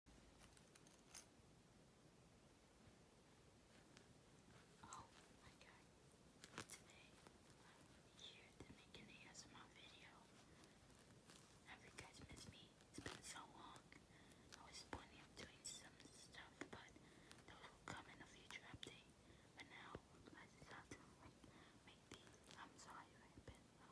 Oh my today here to make an ASMR video. Have you guys missed me? It's been so long. I was planning on doing some stuff, but those will come in a future update. But now, I just have to make these. I'm sorry, I've been uh,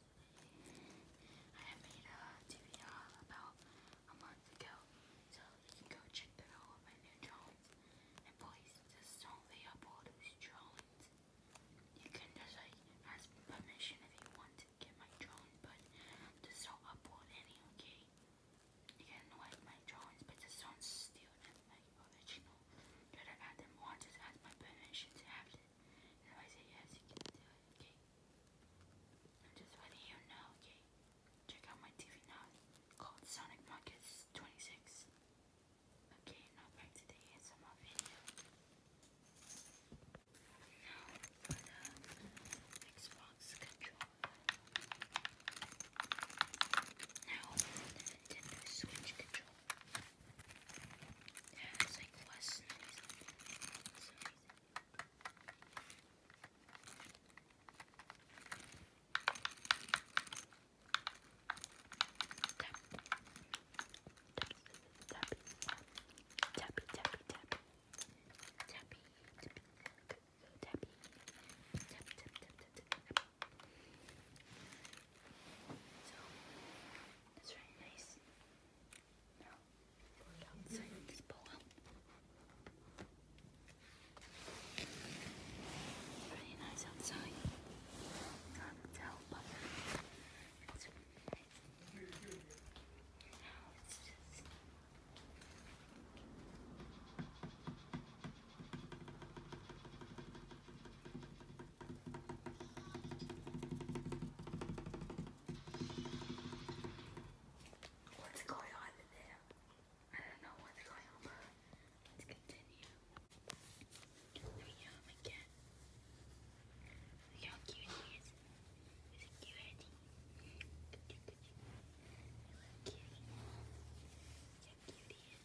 I made a TBR uh, about a month ago, so you can go check that out with my new drawings. And please, just don't lay up all these drawings. You can just ask permission if you want to get my drawings, but just don't upload any, okay? You can like my drawings, but just don't steal them, like original. You gotta add them on, just ask my permission to have them. And you just letting you know, okay? Check out my TV now. called Sonic Markets 26. Okay, now back to the ASMR video. Now for Now Nintendo Switch controller. Yeah, it's Tappy, tappy, tappy. Tappy, tappy, tappy. Tappy, tappy, tappy, tappy. So it's very nice. Now outside and nice outside. Hard to tell, but it's really nice. Now it's just. What's going on there? I don't know what's going on, let's continue. Let me him again. Look how cute he is. Is he cute?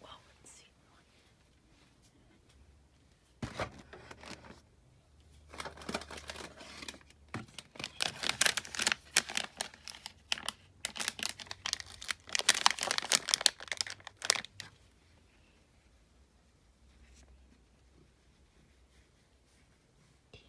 Well, let's see. Tea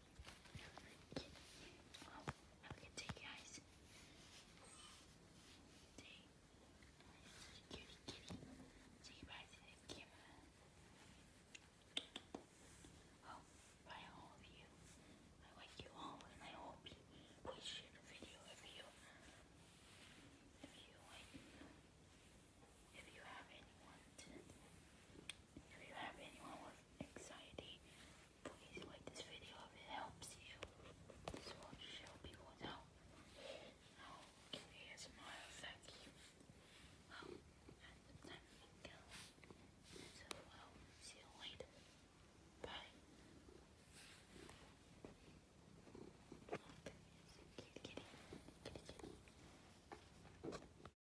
Oh, have a good day, guys. Good day. Kitty, Oh, bye all of you. I like you all, and I hope you share the video if you if you if you have anyone if you have anyone with anxiety Please like this video if it helps you. This will show people now. Now, give me a smile. Thank you. Well, and then we go. So, well, see you later. Bye. Look, kitty, kitty, kitty, kitty.